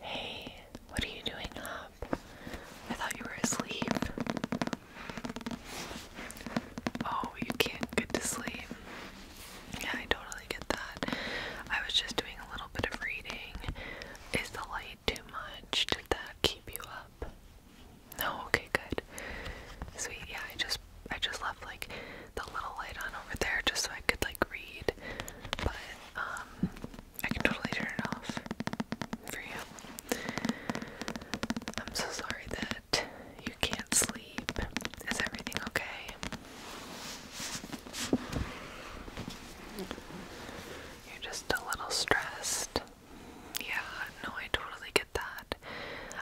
Hey, what are you doing up? I thought you were asleep. Oh, you can't get to sleep. Yeah, I totally get that. I was just doing a little bit of reading. Is the light too much? Did that keep you up? No, okay, good. Sweet, yeah, I just I just left like the little light on over there just so I could like read, but um, I can totally turn it off for you. I'm so sorry that you can't sleep. Is everything okay? You're just a little stressed. Yeah, no, I totally get that.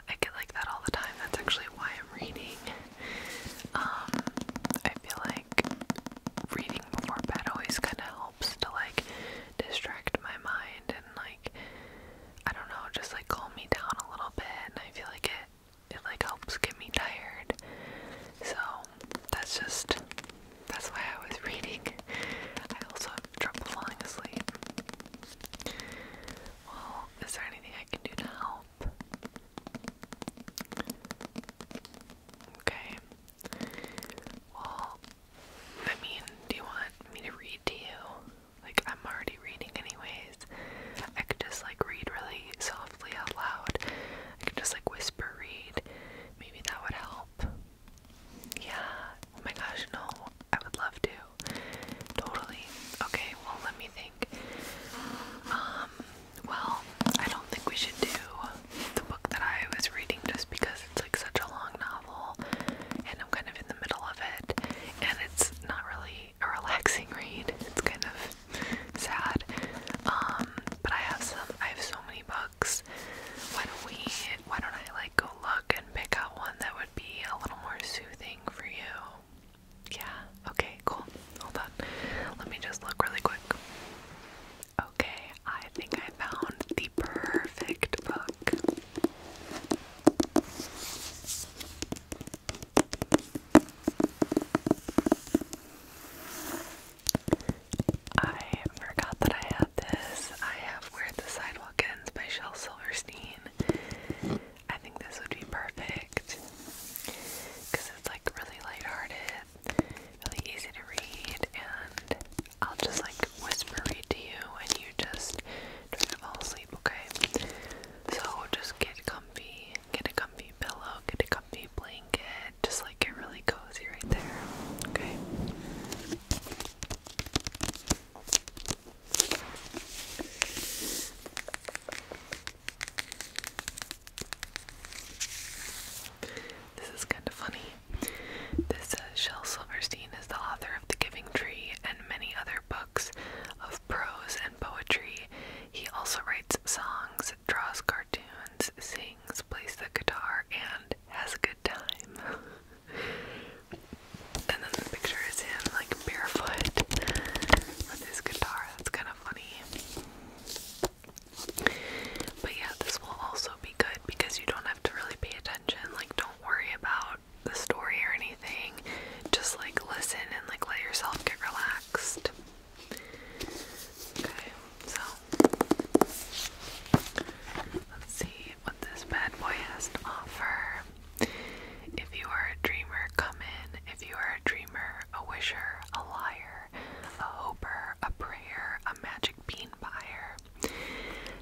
I get like that all the time. That's actually why I'm reading. Um, I feel like reading before bed always kind of helps to like distract my mind and like I don't know, just like calm me down a little bit. And I feel like it it like helps get me tired. So that's just that's why I was reading. I also have trouble falling asleep. Well, is there anything I can do to help? Okay. Well, I mean, do you want me to read to you? Like, I'm already reading, anyways. I could just, like, read really softly out loud. I could just, like, whisper read. Maybe that would help. Yeah. Oh my gosh, no. I would love to. Totally. Okay, well, let me think. Um, well, I don't think we should do the book that I was reading just because it's like such a long novel and I'm kind of in the middle of it and it's not really a relaxing read. It's kind of sad. Um, but I have some I have so many books. Why don't we why don't I like go look and pick out one that would be a little more soothing for you? Yeah, okay, cool. Hold on. Let me just look really quick. Okay, I think I found the perfect book. I forgot that I had this. I have Where the Sidewalk Ends by Shel Silverstein. I think this would be perfect because it's like really lighthearted, really easy to read, and I'll just like whisper read to you and you just fall asleep, okay? So just get comfy, get a comfy pillow, get a comfy blanket, just like get really cozy right there, okay? This is kind of funny. This is uh, Shel Silverstein is the author of The Giving Tree and many other books of prose and poetry. He also writes songs, draws cartoons, sings, plays the guitar, and has a good time. and then the picture is him like barefoot with his guitar. That's kind of funny. But yeah, this will also be good because you don't have to really pay attention. Like, don't worry about the story or anything. Just like listen and like let yourself get relaxed. Okay, so let's see what this bad boy has to offer. If you are a dreamer, come in. If you are a dreamer, a wisher, a liar, a hopper, a prayer, a magic bean buyer,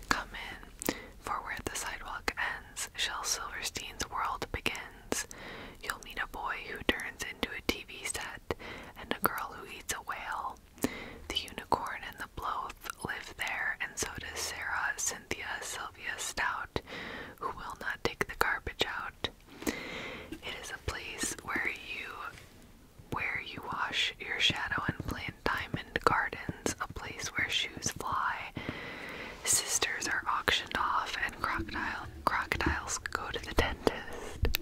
come in. For where the sidewalk ends, shall Silverstein's world begins. You'll meet a boy who turns into a TV set and a girl who eats a whale. The unicorn and the bloth live there, and so does Sarah, Cynthia Sylvia Stout, who will not take the garbage out. It is a place where you where you wash your shadow and plant diamond gardens, a place where shoes fly. Sisters are auctioned off and crocodile crocodiles go to the dentist.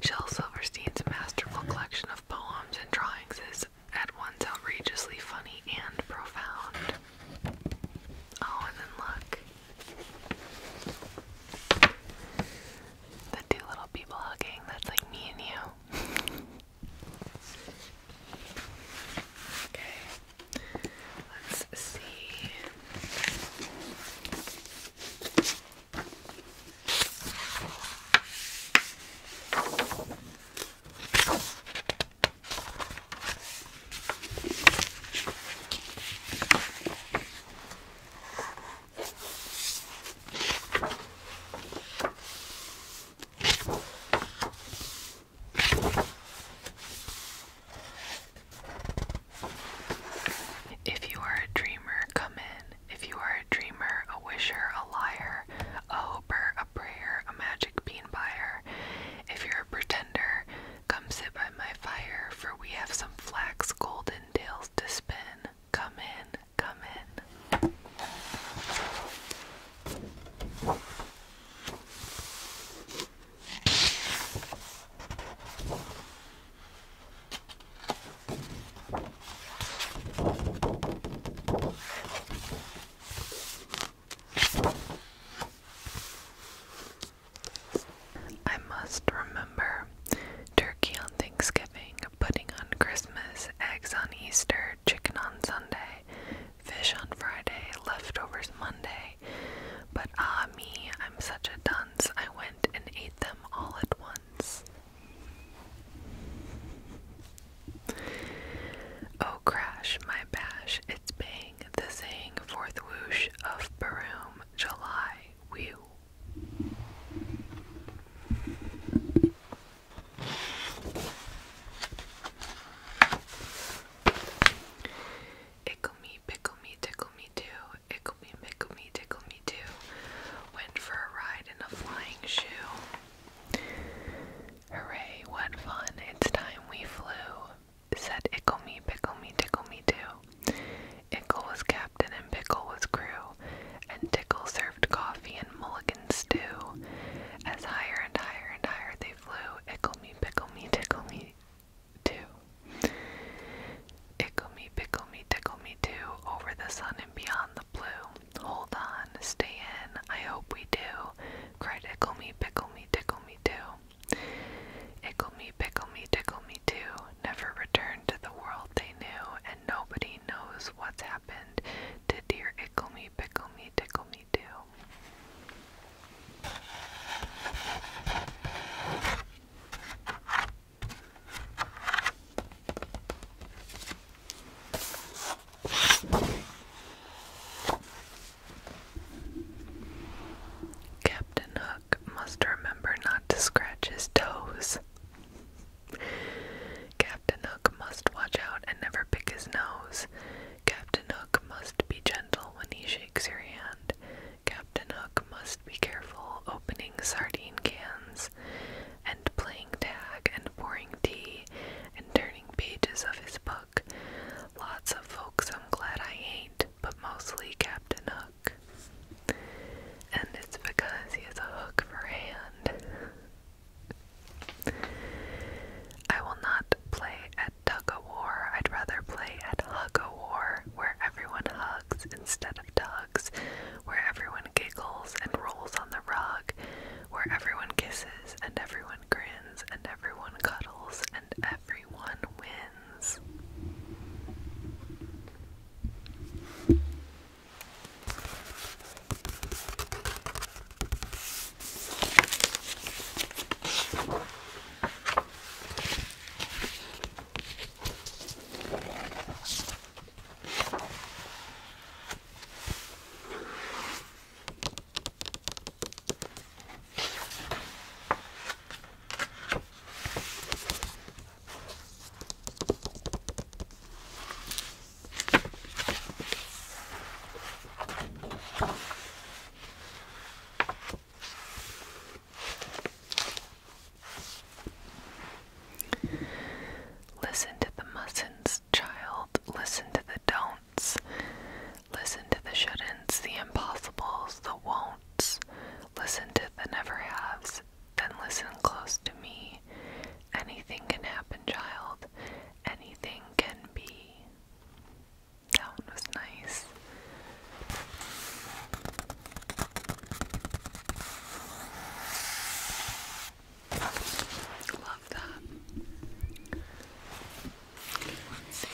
Shel Silverstein's masterful collection of poems and drawings is is at once outrageously funny and profound. Oh, and then look. The two little people hugging, that's like me and you. okay, let's see. If you are a dreamer, come in. If you are a dreamer, a wisher, a liar, a hopper, a prayer, a magic bean buyer. If you're a pretender, come sit by my fire, for we have some flax golden tails to spin. Come in, come in. I must remember turkey on Thanksgiving, pudding on Christmas, eggs on Easter, chicken on Sunday, fish on Friday, leftovers Monday. But ah, me, I'm such a dunce. I went and ate them all at once. Oh, crash, my bash, it's bang, the sang fourth whoosh of Baroom, July, whew. Ickle me, pickle me, tickle me too. Ickle me, pickle me, tickle me too. Went for a ride in a flying shoe. Hurray! what fun, it's time we flew, said Ickle Me, Pickle Me, Tickle Me Too. Ickle was captain and Pickle was crew, and Tickle served coffee and mulligan stew. As higher and higher and higher they flew, Ickle Me, Pickle Me, Tickle Me Too. Ickle Me, Pickle Me, Tickle Me Too, over the sun beyond the blue. Hold on, stay in, I hope we do. Cried Ickle Me, Pickle Me, Tickle Me Too. Ickle Me, Pickle Me, Tickle Me Too. Never returned to the world they knew, and nobody knows what's happened to dear Ickle Me, Pickle Me, Tickle Me Too. Captain Hook must remember not to scratch his toes. Captain Hook must watch out and never pick his nose. Captain Hook must be gentle when he shakes your hand. Captain Hook must be careful opening sardine cans and playing tag, and pouring tea, and turning pages of his book. Lots of folks I'm glad I ain't, but mostly Captain Hook. And it's because he has a hook for hand. I will not play at tug o' war. I'd rather play at hug o' war, where everyone hugs instead of tugs, where everyone giggles and rolls on the rug, where everyone kisses and everyone grins and everyone cuddles and everyone wins. Listen to the mussins child. Listen to the don'ts. Listen to the shouldn'ts, the impossibles, the won'ts. Listen to the never has. Then listen close to me. Anything can happen, child. Anything can be. That was nice. I Love that. let's see.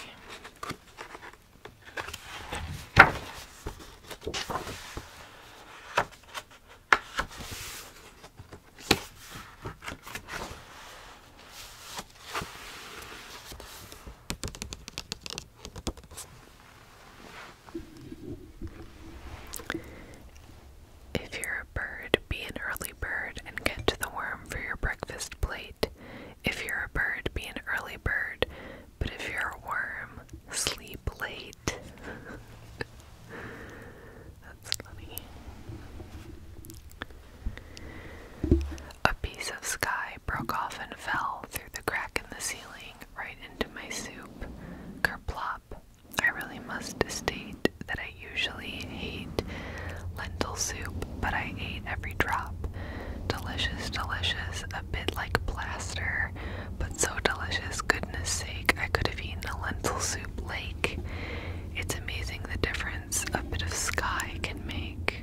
If you're a bird, be an early bird and get to the worm for your breakfast plate. If you're a bird, be an early bird. But if you're a worm, sleep late. That's funny. A piece of sky broke off and fell through the crack in the ceiling right into my soup. Kerplop, I really must state that I usually hate lentil soup, but I ate every drop. Delicious, delicious, a bit like plaster, but so delicious, goodness sake, I could have eaten a lentil soup lake. It's amazing the difference a bit of sky can make.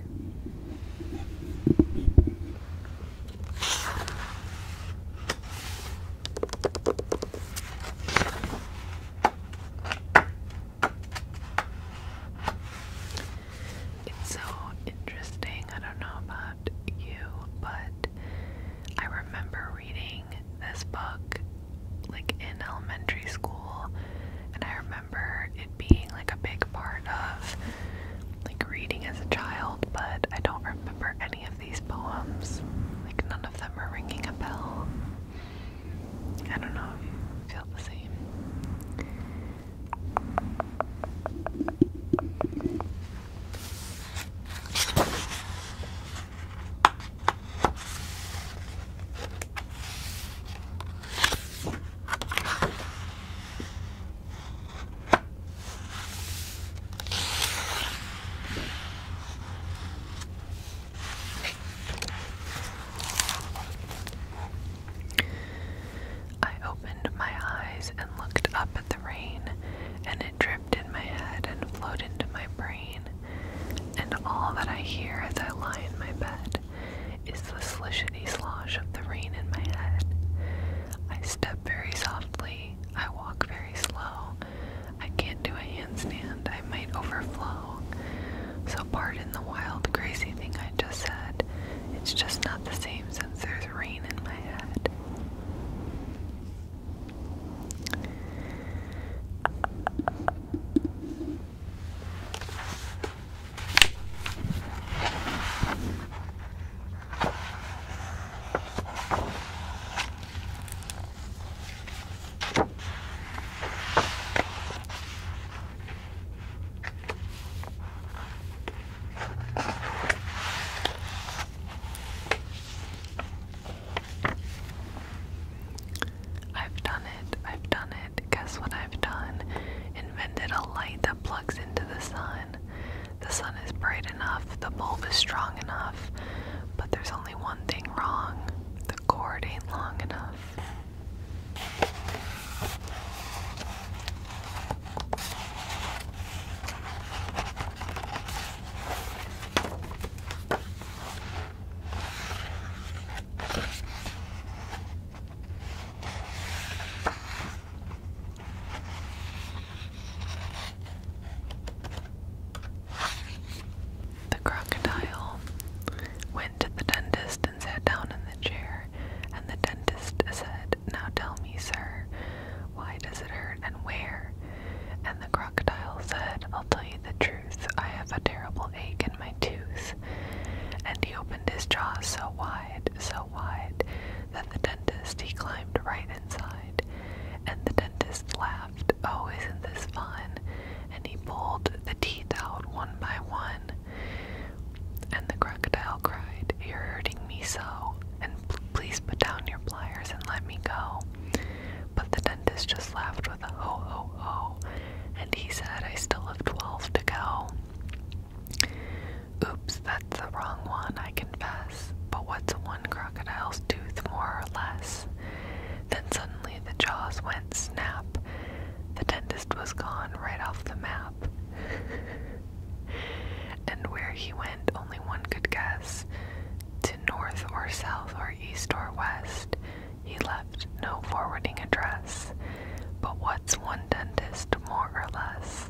It's so interesting. I don't know about you, but I remember reading this book like in elementary school, and I remember it being like a big part of like reading as a child, but I don't remember any of these poems. Like, none of them are ringing a bell. I don't know feel the same. I opened my eyes and looked up at the rain, and it dripped in my head and flowed into my brain. And all that I hear as I lie in my bed is the slishity slosh of the rain in my head. I step very softly, I walk very slow, I can't do a handstand, I might overflow. So, pardon the wild, crazy thing I just said. It's just not the same since there's rain in my head. I've done it. I've done it. Guess what I've done? Invented a light that plugs into the sun. The sun is brighter enough, the bulb is strong enough, but there's only one thing wrong the cord ain't long enough. The crocodile went to the dentist and sat down in the chair, and the dentist said, Now tell me, sir, why does it hurt and where? And the crocodile said, I'll tell you the truth, I have a terrible ache in my tooth. And he opened his jaws so wide, so wide, that the dentist he climbed right inside. And the dentist laughed Oh, isn't this fun? And he pulled the teeth out one by one. And the crocodile cried, You're hurting me so, and please put down your pliers and let me go. But the dentist just laughed with a "Oh, oh, oh," and he said, I still have 12 to go. Oops, that's the wrong one, I confess but what's one crocodile's tooth more or less? Then suddenly the jaws went snap. The dentist was gone right off the map. and where he went, only one could guess. To north or south or east or west, he left no forwarding address. But what's one dentist more or less?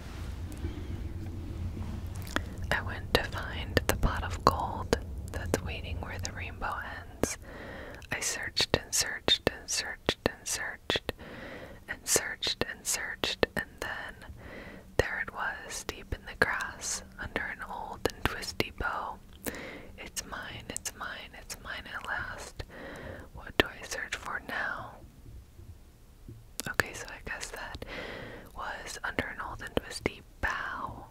I went to find the pot of gold that's waiting where the rainbow ends. I searched and searched and searched and searched and searched and searched, and then there it was, deep in the grass, under an old and twisty bow. It's mine, it's mine, it's mine at last. What do I search for now? Okay, so I guess that was under an old and twisty bow.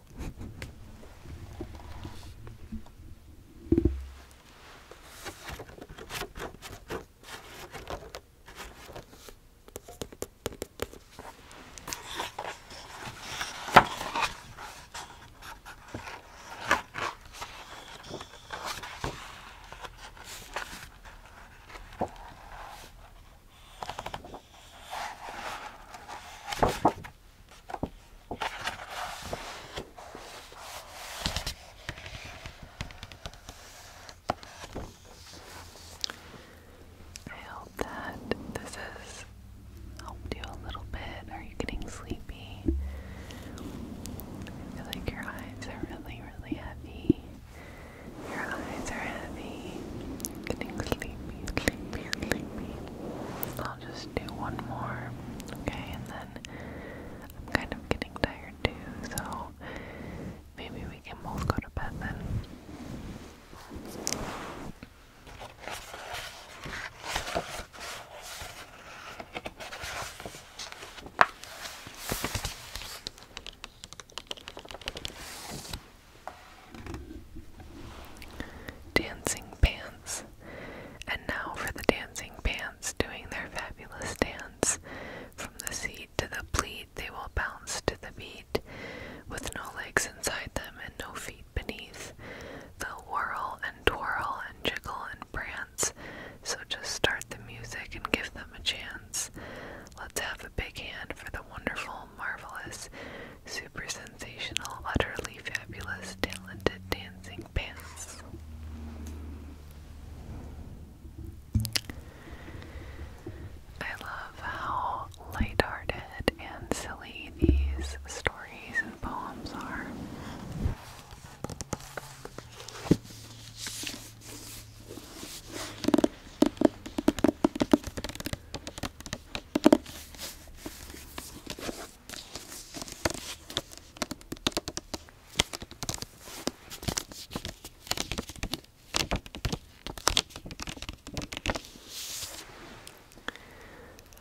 I hope that this has helped you a little bit. Are you getting sleepy? I feel like your eyes are really, really heavy. Your eyes are heavy. Getting sleepy, sleepy, sleepy. I'll just do one more, okay? And then I'm kind of getting tired too, so maybe we can both go to bed then. Dancing Pants. And now for the Dancing Pants doing their fabulous dance. From the seat to the pleat, they will bounce to the beat. With no legs inside them and no feet beneath, they'll whirl and twirl and jiggle and prance so just start the music and give them a chance. Let's have a big hand for the wonderful, marvelous, super sensational, utterly fabulous, talented dancing pants. I love how lighthearted and silly these stories and poems are.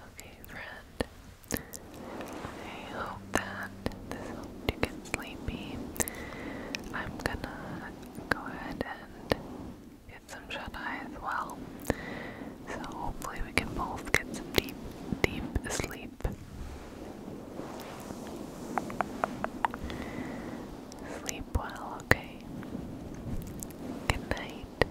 Okay, friend. I hope that this helped you get sleepy. I'm gonna go ahead and get some shut eye as well. So hopefully we can both get some deep, deep sleep. Sleep well, okay? Good night.